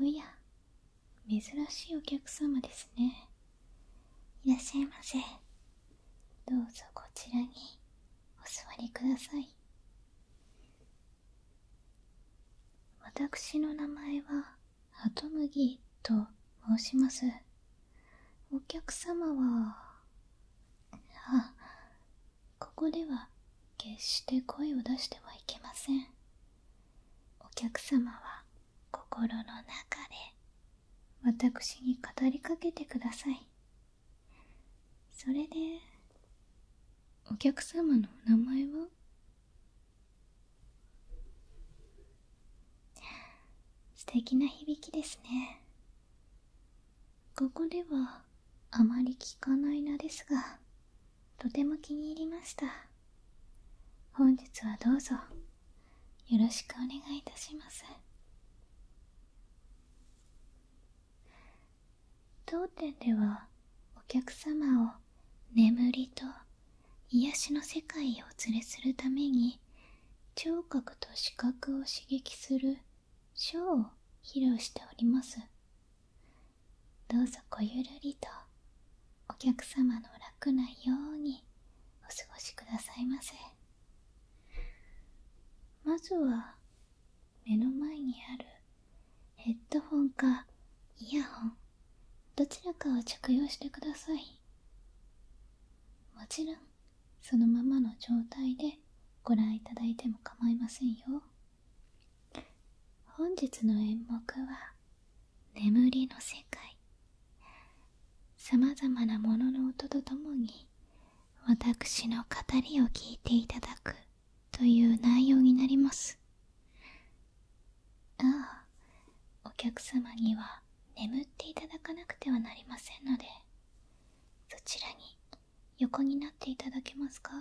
おや珍しいお客様ですねいらっしゃいませどうぞこちらにお座りください私の名前はハトムギと申しますお客様はあここでは決して声を出してはいけませんお客様は心の中で私に語りかけてくださいそれでお客様のお名前は素敵な響きですねここではあまり聞かない名ですがとても気に入りました本日はどうぞよろしくお願いいたします当店ではお客様を眠りと癒しの世界へお連れするために聴覚と視覚を刺激するショーを披露しておりますどうぞごゆるりとお客様の楽なようにお過ごしくださいませまずは目の前にあるヘッドホンかイヤホンどちらかを着用してくださいもちろんそのままの状態でご覧いただいても構いませんよ本日の演目は「眠りの世界」さまざまなものの音とともに私の語りを聞いていただくという内容になりますああお客様には眠っていただかなくてはなりませんのでそちらに横になっていただけますか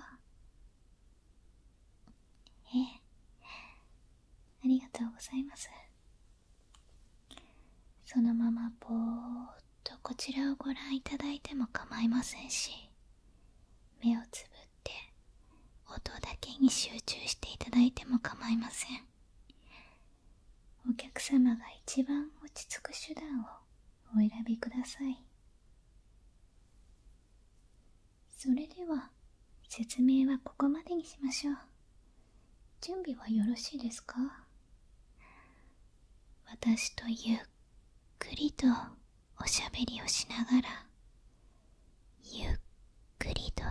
ええありがとうございますそのままぼーっとこちらをご覧いただいても構いませんし目をつぶって音だけに集中していただいても構いませんお客様が一番落ち着く手段をお選びくださいそれでは説明はここまでにしましょう準備はよろしいですか私とゆっくりとおしゃべりをしながらゆっくりと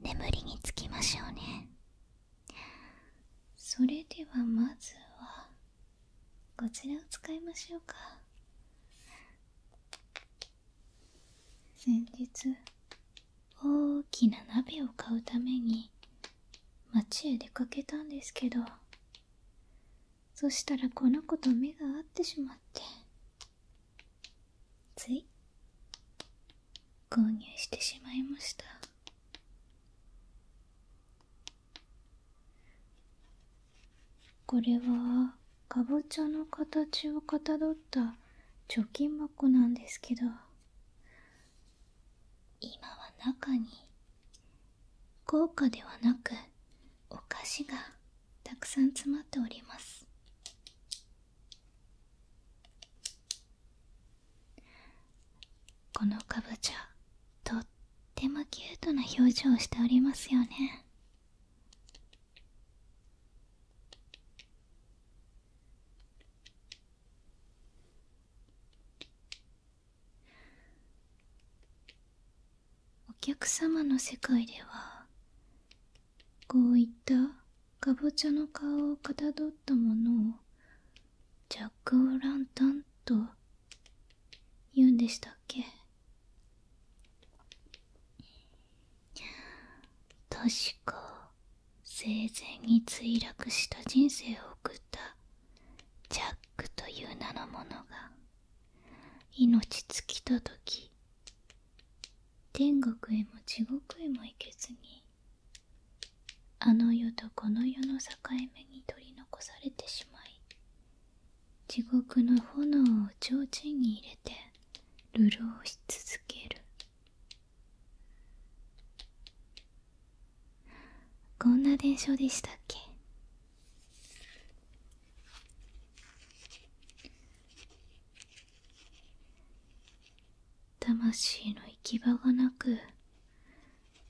眠りにつきましょうねそれではまずはこちらを使いましょうか先日大きな鍋を買うために街へ出かけたんですけどそしたらこの子と目が合ってしまってつい購入してしまいましたこれはかぼちゃの形をかたどった貯金箱なんですけど今は中に豪華ではなくお菓子がたくさん詰まっておりますこのかぼちゃとってもキュートな表情をしておりますよねお客様の世界ではこういったカボチャの顔をかたどったものをジャック・オ・ランタンと言うんでしたっけ確か生前に墜落した人生を送ったジャックという名の者が命尽きた時天国へも地獄へも行けずにあの世とこの世の境目に取り残されてしまい地獄の炎を提灯に入れて流浪し続けるこんな伝承でしたっけ魂の行き場がなく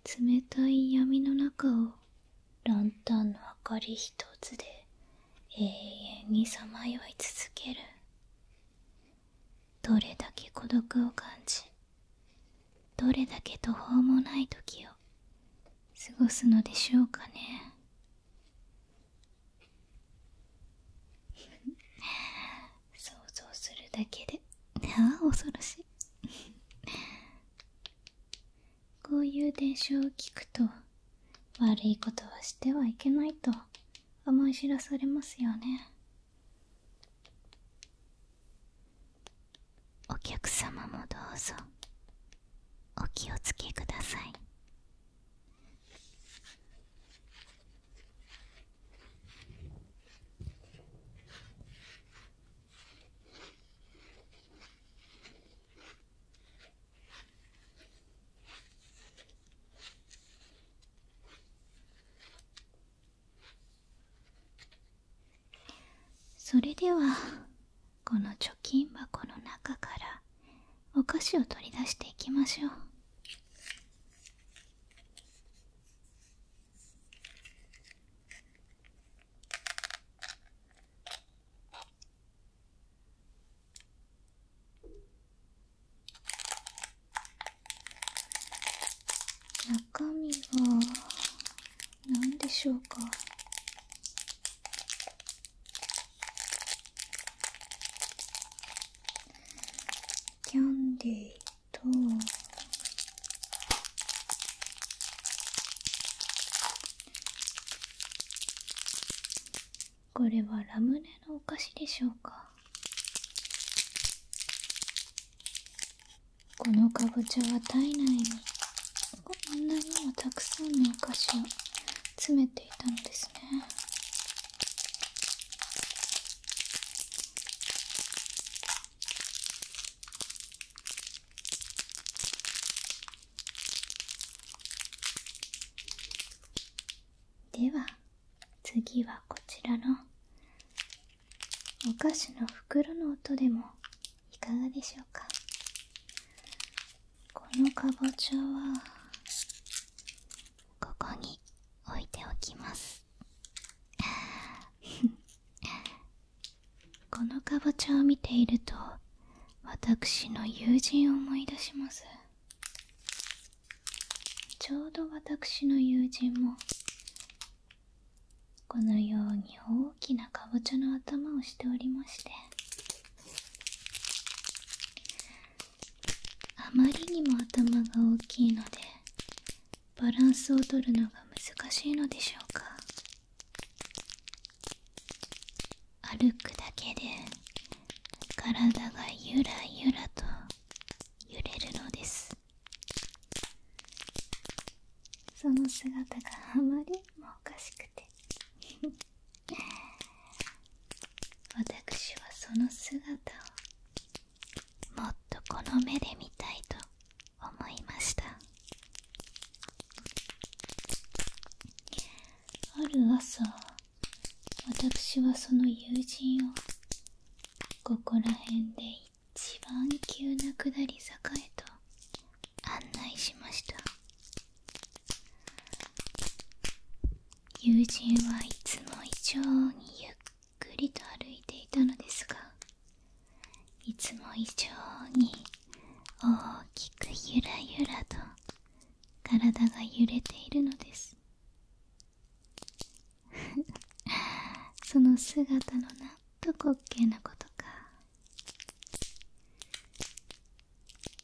冷たい闇の中をランタンの明かり一つで永遠にさまよい続けるどれだけ孤独を感じどれだけ途方もない時を過ごすのでしょうかね想像するだけでああ 恐ろしいこういう伝承を聞くと悪いことはしてはいけないと思い知らされますよねお客様もどうぞお気を付けくださいそれではこの貯金箱の中からお菓子を取り出していきましょう中身は何でしょうかキャンディーとこれはラムネのお菓子でしょうかこのかぼちゃは体内にこんなにもたくさんのお菓子を詰めてでは次はこちらのお菓子の袋の音でもいかがでしょうかこのかぼちゃはここに置いておきます。このかぼちゃを見ていると私の友人を思い出しますちょうど私の友人もこのように大きなかぼちゃの頭をしておりましてあまりにも頭が大きいのでバランスを取るのが難しいのでしょうか歩くだけで体がゆらゆらと揺れるのですその姿があまりもおかしくて私はその姿をもっとこの目で見たいと思いましたある朝私はその友人をここら辺で一番急な下り坂へと案内しました友人はいつも以上にゆっくりと歩いていたのですがいつも以上に大きくゆらゆらと体が揺れているのです その姿のなんと滑稽なことか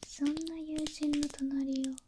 そんな友人の隣を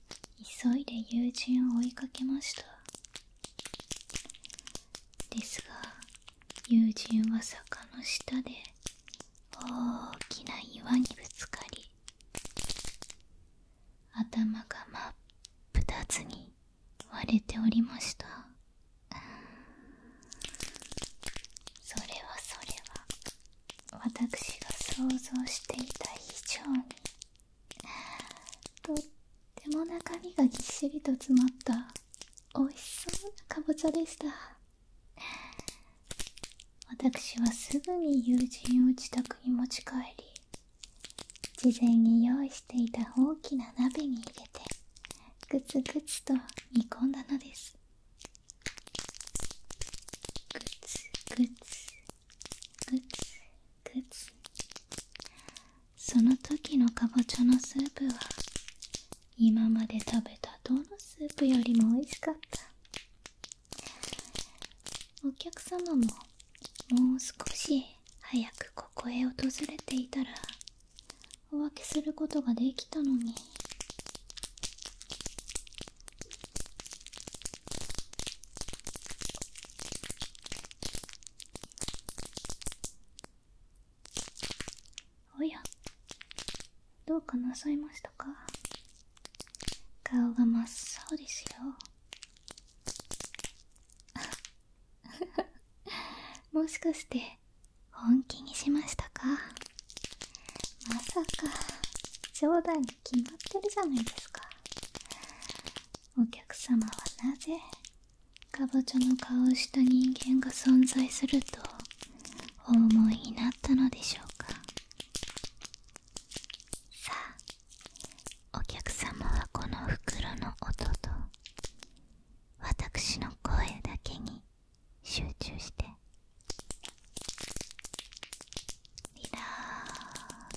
急いで友人を追いかけましたですが友人は坂の下で大きな岩にぶつかり頭が真っ二つに割れておりましたそれはそれは私が想像していた以上にとっても中身がぎっしりと詰まったおいしそうなかぼちゃでした私はすぐに友人を自宅に持ち帰り事前に用意していた大きな鍋に入れてグツグツと煮込んだのですグツグツグツグツその時のかぼちゃのスープは今まで食べたどのスープよりも美味しかったお客様ももう少し早くここへ訪れていたらお分けすることができたのにおやどうかなさいましたか顔が真っ青ですよ もしかして本気にしましたかまさか冗談に決まってるじゃないですかお客様はなぜかぼちゃの顔をした人間が存在するとお思いになったのでしょうかさあお客様はこの袋の音と私の声だけに集中してリラー！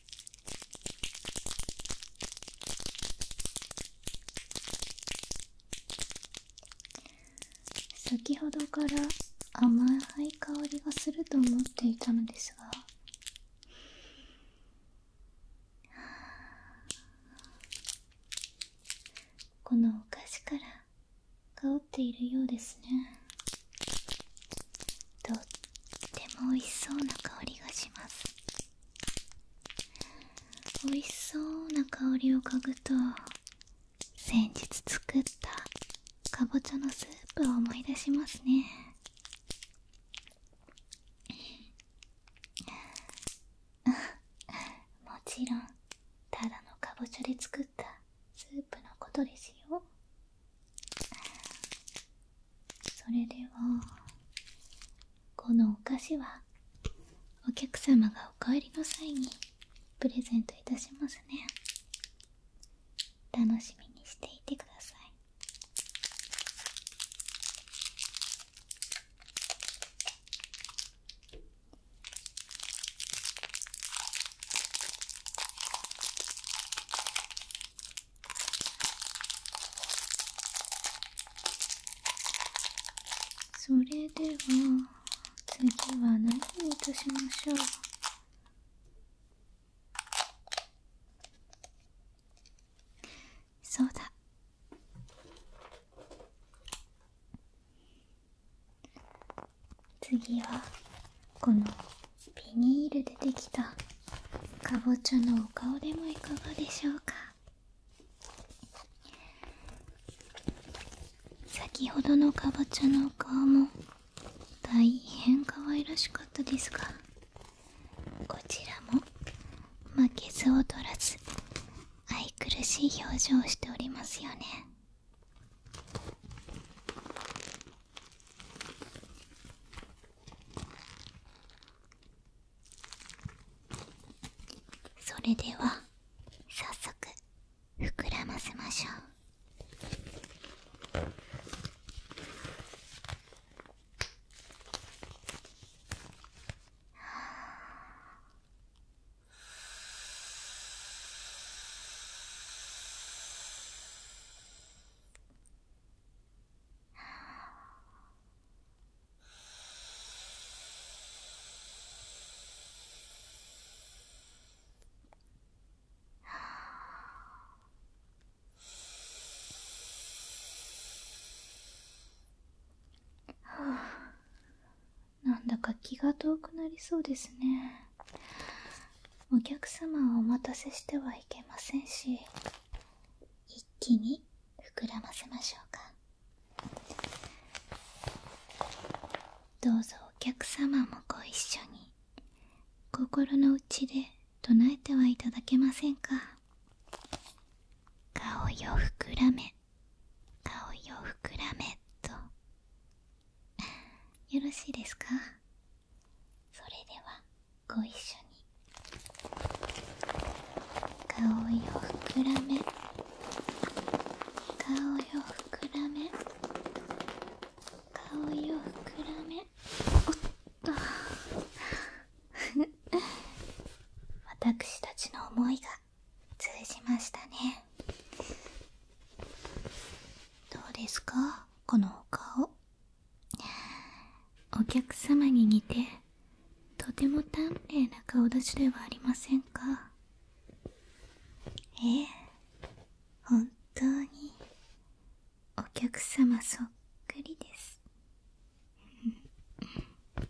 先ほどから甘い香りがすると思っていたのですがこのお菓子から香っているようですねとっても美味しそうな香りがします美味しそうな香りを嗅ぐと先日作ったかぼちゃのスープを思い出しますね もちろんただのかぼちゃで作ったスープのことですよそれではこのお菓子はお客様がお帰りの際にプレゼントいたしますね楽しみにしていてくださいそれでは次は何をいたしましょうそうだ次はこのビニールでできたかぼちゃのお顔でもいかがでしょうか先ほどのかぼちゃのお顔も大変可愛らしかったですがこちらも負けず劣らず愛くるしい表情をしておりますよねそれでは早速膨らませましょう。はあ。なんだか気が遠くなりそうですねお客様をお待たせしてはいけませんし一気に膨らませましょうかどうぞお客様もご一緒に心の内で唱えてはいただけませんか顔よ膨らめ顔よ膨らめと よろしいですかそれではご一緒に顔よ膨らめ顔よ膨らめ顔よ膨らめおっと 私たちの思いが通じましたねどうですかこのお顔お客様に似てとても短命な顔立ちではありませんかええ本当にお客様そっくりですあ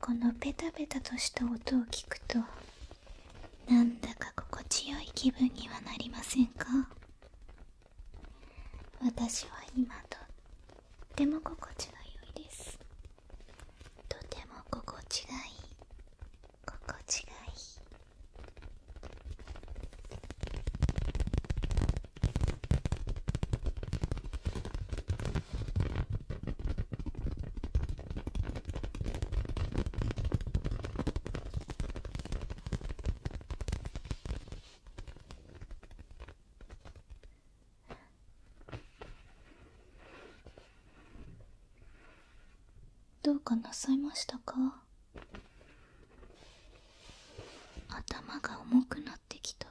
このペタペタとした音を聞くとなんだか心地よい気分にはなりませんか私は今とっても心地が良いですとても心地がいい心地がいいどうかなさいましたか頭が重くなってきた。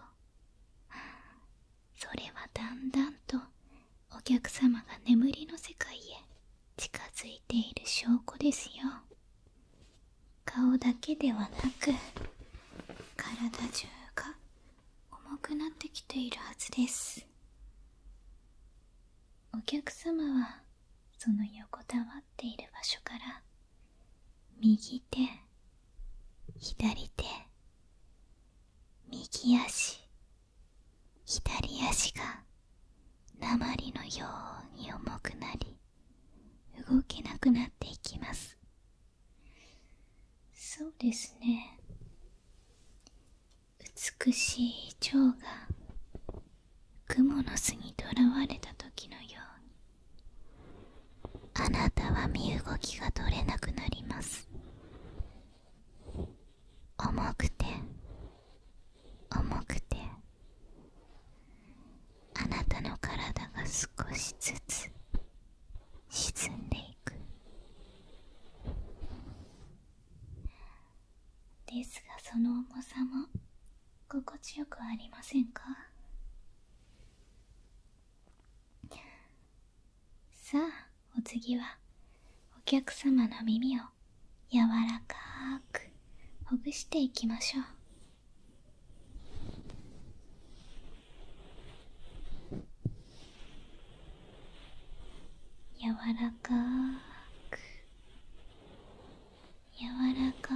それはだんだんとお客様が眠りの世界へ近づいている証拠ですよ顔だけではなく体中が重くなってきているはずですお客様はその横たわっている場所から右手左手右足左足が鉛のように重くなり動けなくなっていきますそうですね美しい蝶が雲の巣にとらわれた時のようにあなたは身動きが取れなくなります重くて重くてあなたの体が少しずつ沈んでいくですがその重さも心地よくありませんかさあお次はお客様の耳を柔らかくほぐしていきましょう柔らかく柔らかく…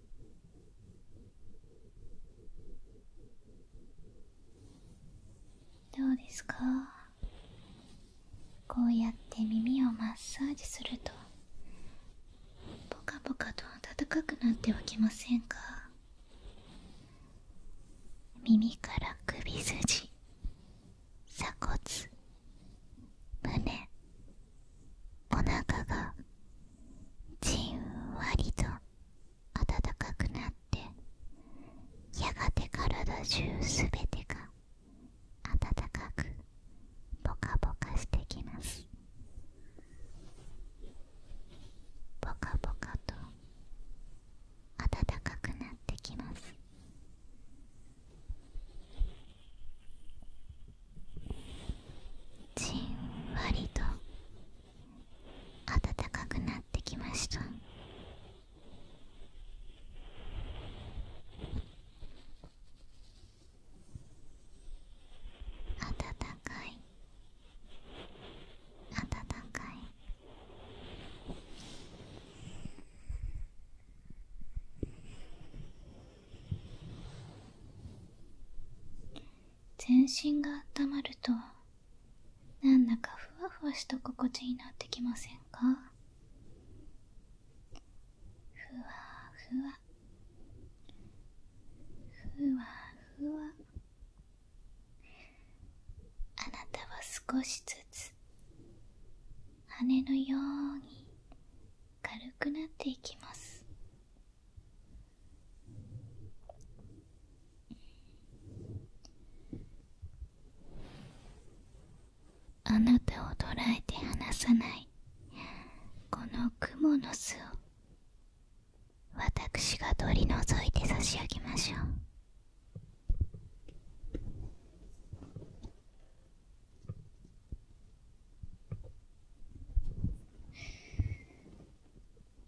どうですかこうやって耳をマッサージするとポカポカと温かくなってはきませんか耳から首筋鎖骨胸お腹がじんわりと暖かくなってやがて体中すべてが暖かくポカポカしてきますポカポカと暖かくなってきますじんわりと暖かくなってきました暖かい暖かい全身が温まるとなんだかふわふわした心地になってきませんかふわふわふわふわあなたは少しずつ羽のように軽くなっていきますあなたを捉えて離さないこの雲の巣を私が取り除いて差し上げましょう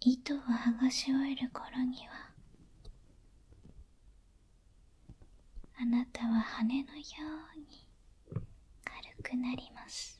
糸をはがし終える頃にはあなたは羽のように軽くなります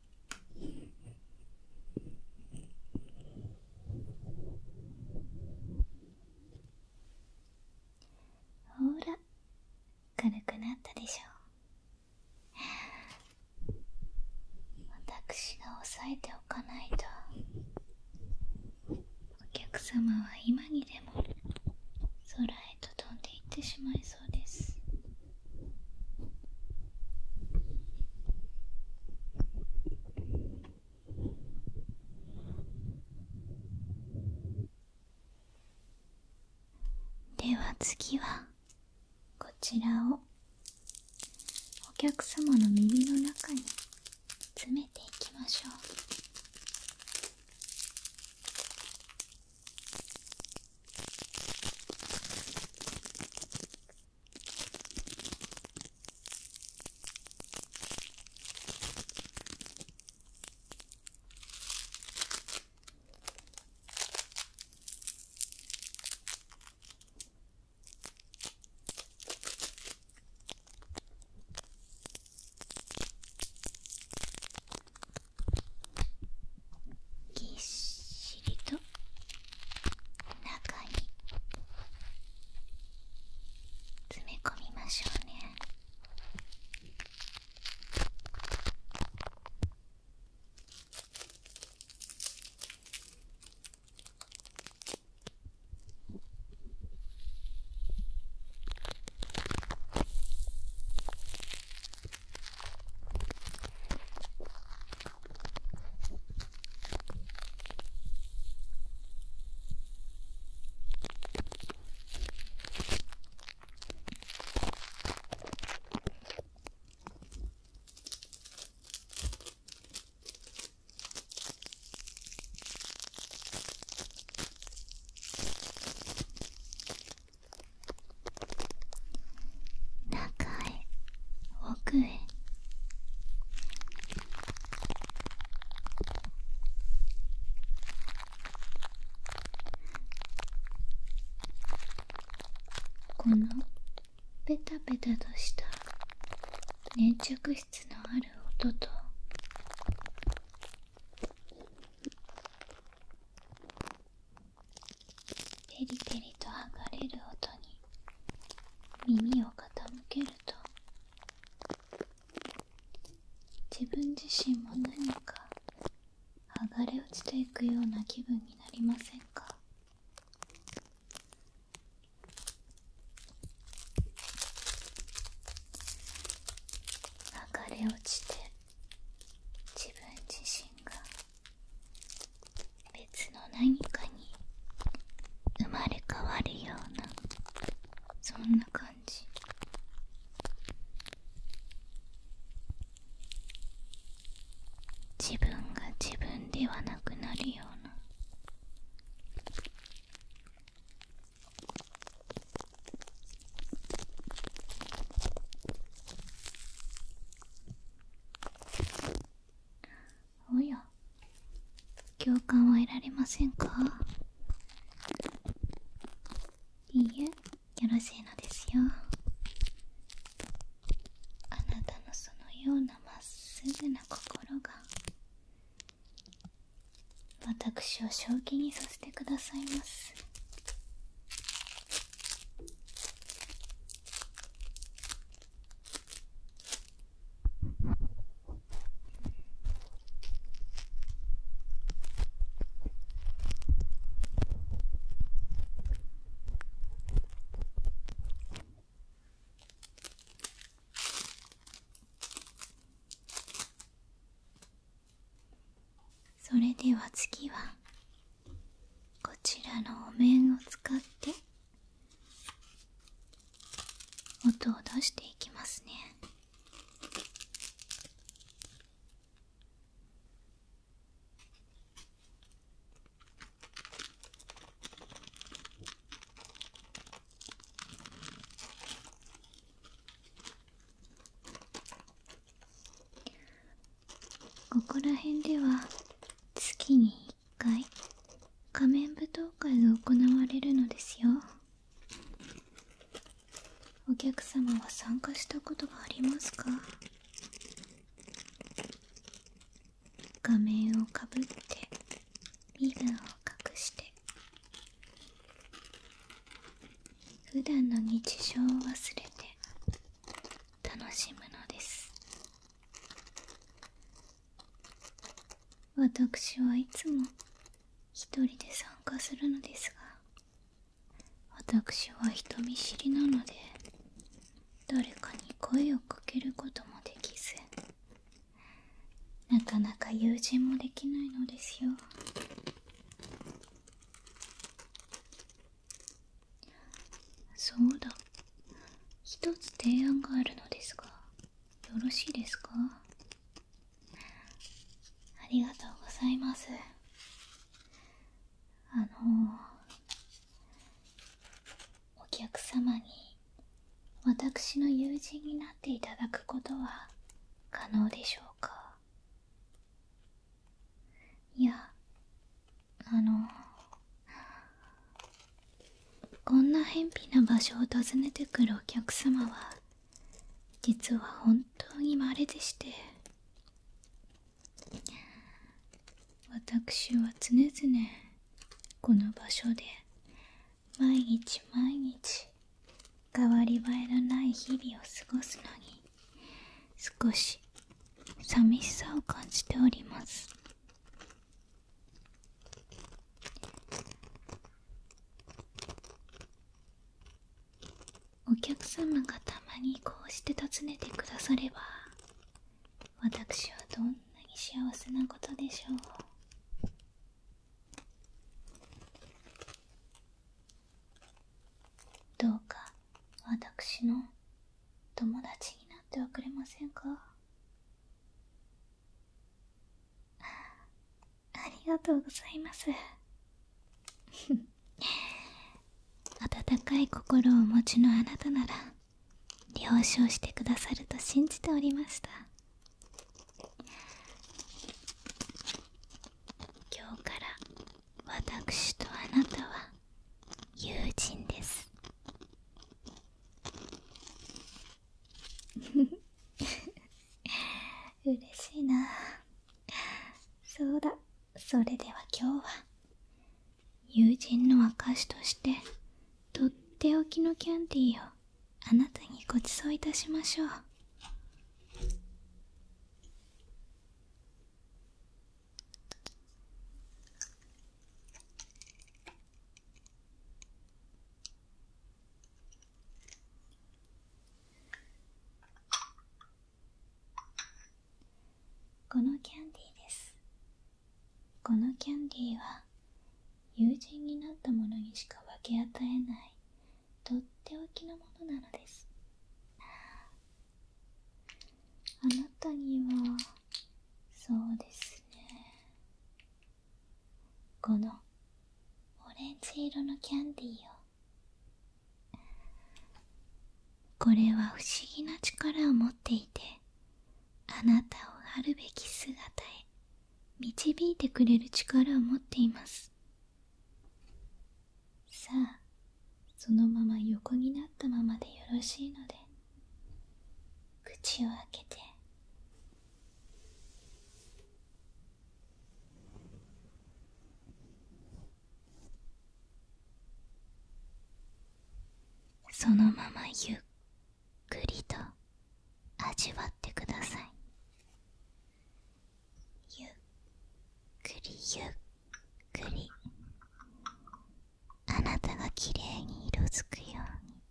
ほら軽くなったでしょう私が押さえておかないとお客様は今にでも空へと飛んでいってしまいそうですでは次はこちらをお客様の耳の中に詰めていきましょうぎっしりと中に詰め込みましょうね中い奥へこのペタペタとした粘着質のある音とてりてりと剥がれる音に耳を傾けると自分自身も何か剥がれ落ちていくような気分になりませんか剥がれ落ちて自分自身が別の何かに生まれ変わるようなそんな感じ自分が自分ではなくなるようなおや共感は得られませんかいいえよろしいのですよあなたのそのようなまっすぐな心が私を正気にさせてくださいますそれでは次はこちらのお面を使って音を出していきますねここら辺では月に会仮面舞踏会が行われるのですよお客様は参加したことがありますか画面をかぶって身分を隠して普段の日常を忘れて楽しむのです私はいつも一人で参加するのですが私は人見知りなので誰かに声をかけることもできずなかなか友人もできないのですよそうだ一つ提案があるのですがよろしいですかありがとうございますあのお客様に私の友人になっていただくことは可能でしょうかいやあのこんな偏僻な場所を訪ねてくるお客様は実は本当にまれでして私は常々この場所で毎日毎日変わり映えのない日々を過ごすのに少し寂しさを感じておりますお客様がたまにこうして訪ねてくだされば私はどんなに幸せなことでしょうどうか私の友達になってはくれませんかありがとうございます 温かい心をお持ちのあなたなら了承してくださると信じておりました今日から私とあなたは友人です 嬉しいなそうだそれでは今日は友人の証としてとっておきのキャンディーをあなたにごちそういたしましょうこのキャンディーですこのキャンディーは友人になったものにしか分け与えないとっておきのものなのですあなたにはそうですねこのオレンジ色のキャンディーをこれは不思議な力を持っていてあなたをあるべき姿へ導いてくれる力を持っていますさあそのまま横になったままでよろしいので口を開けてそのままゆっくりと味わってくださいゆっくりゆっくりあなたがきれいに色づくように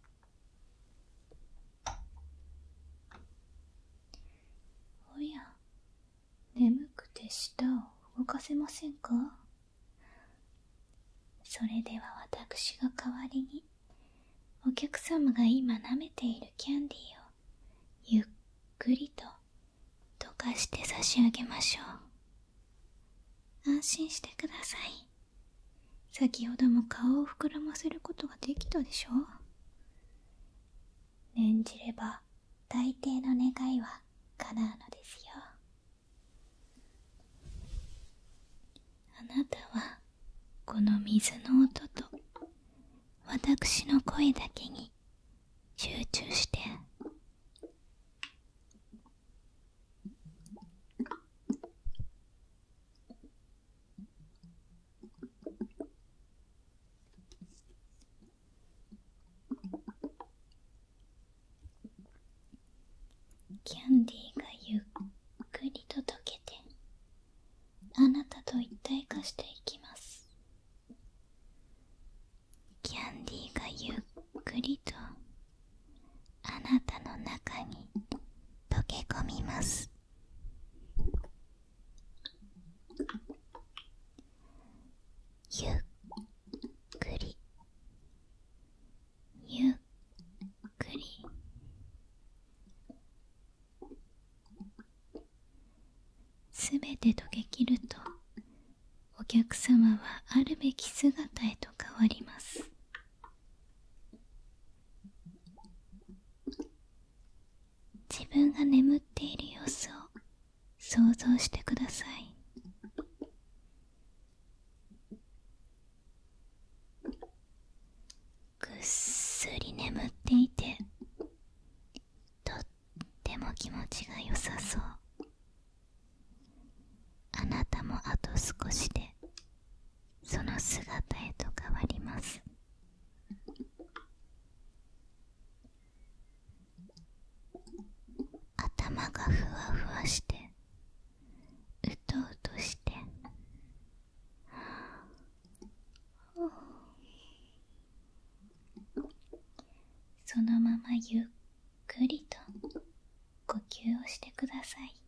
おや眠くて舌を動かせませんかそれでは私が代わりにお客様が今舐めているキャンディーをゆっくりと溶かして差し上げましょう安心してください先ほども顔を膨らませることができたでしょ念じれば大抵の願いは叶うのですよあなたはこの水の音と私の声だけに集中してキャンディーがゆっくりと溶けてあなたと一体化していきますキャンディーがゆっくりとあなたの中に溶け込みますゆっくりゆっくりすべて溶けきるとお客様はあるべき姿へと変わります自分が眠っている様子を想像してくださいぐっすり眠っていてとっても気持ちが良さそうあなたもあと少しでその姿へと変わります頭がふわふわしてうとうとしてそのままゆっくりと呼吸をしてください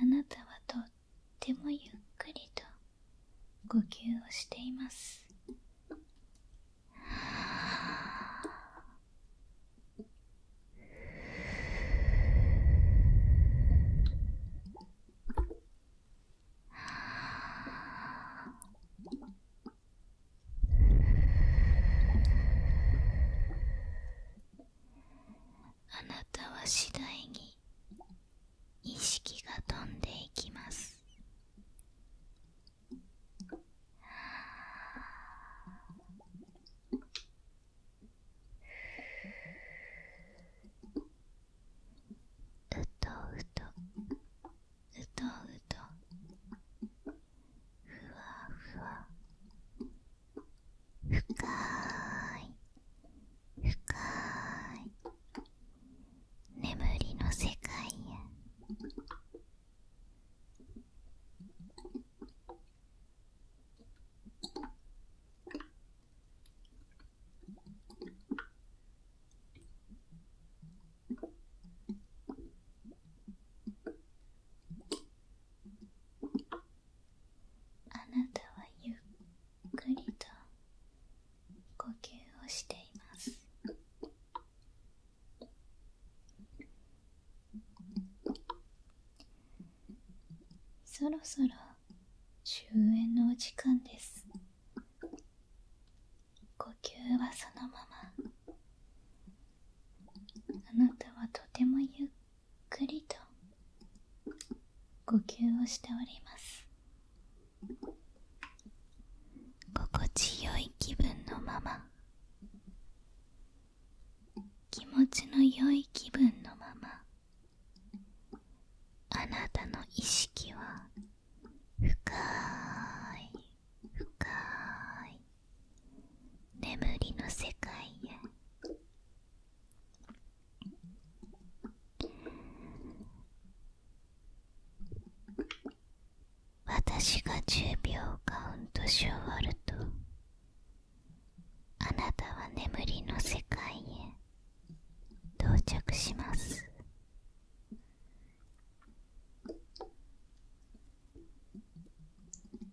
あなたはとってもゆっくりと呼吸をしていますああなたは次第に意識が飛んでいきますうとうとうとうとふわふわ深い深い眠りの世界へあなたはゆっくりと呼吸をしていますそろそろ終焉のお時間です呼吸はそのままあなたはとてもゆっくりと呼吸をしております心地よい気分のまま気持ちの良い気分のままあなたの意識は深い深い眠りの世界へ私が10秒カウントし終わるとあなたは眠りの世界へ到着します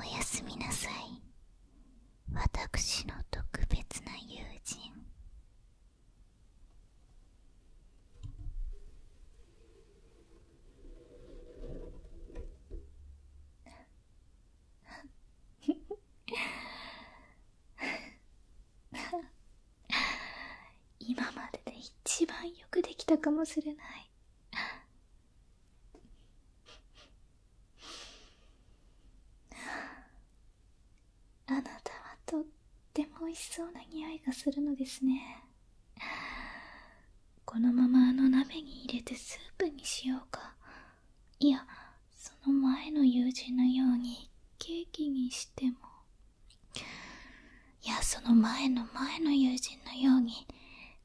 おやすみなさい私の特別な友人今までで一番よくできたかもしれないあなたはとっても美味しそうな匂いがするのですねこのままあの鍋に入れてスープにしようかいやその前の友人のようにケーキにしてもいやその前の前の友人のように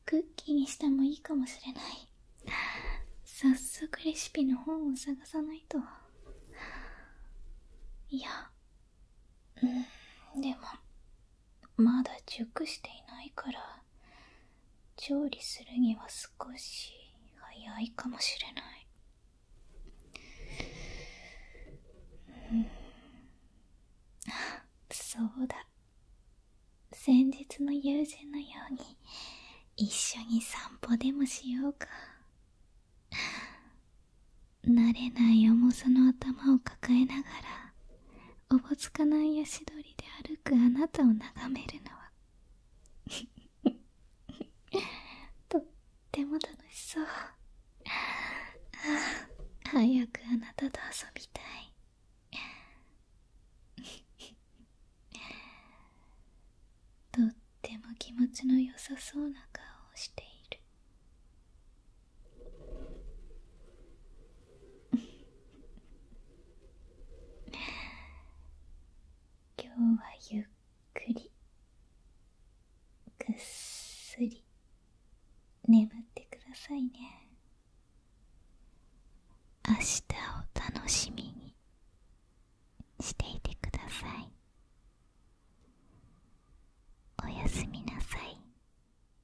クッキーにしてもいいかもしれない早速レシピの本を探さないといやうんでもまだ熟していないから調理するには少し早いかもしれない、うん、そうだ先日の友人のように一緒に散歩でもしようか慣れない重さの頭を抱えながらおぼつかない足取りで歩くあなたを眺めるのは とっても楽しそう早くあなたと遊びたい とっても気持ちの良さそうな顔をしている 今日はゆっくりぐっすり眠ってくださいね明日を楽しみにしていてくださいおやすみなさい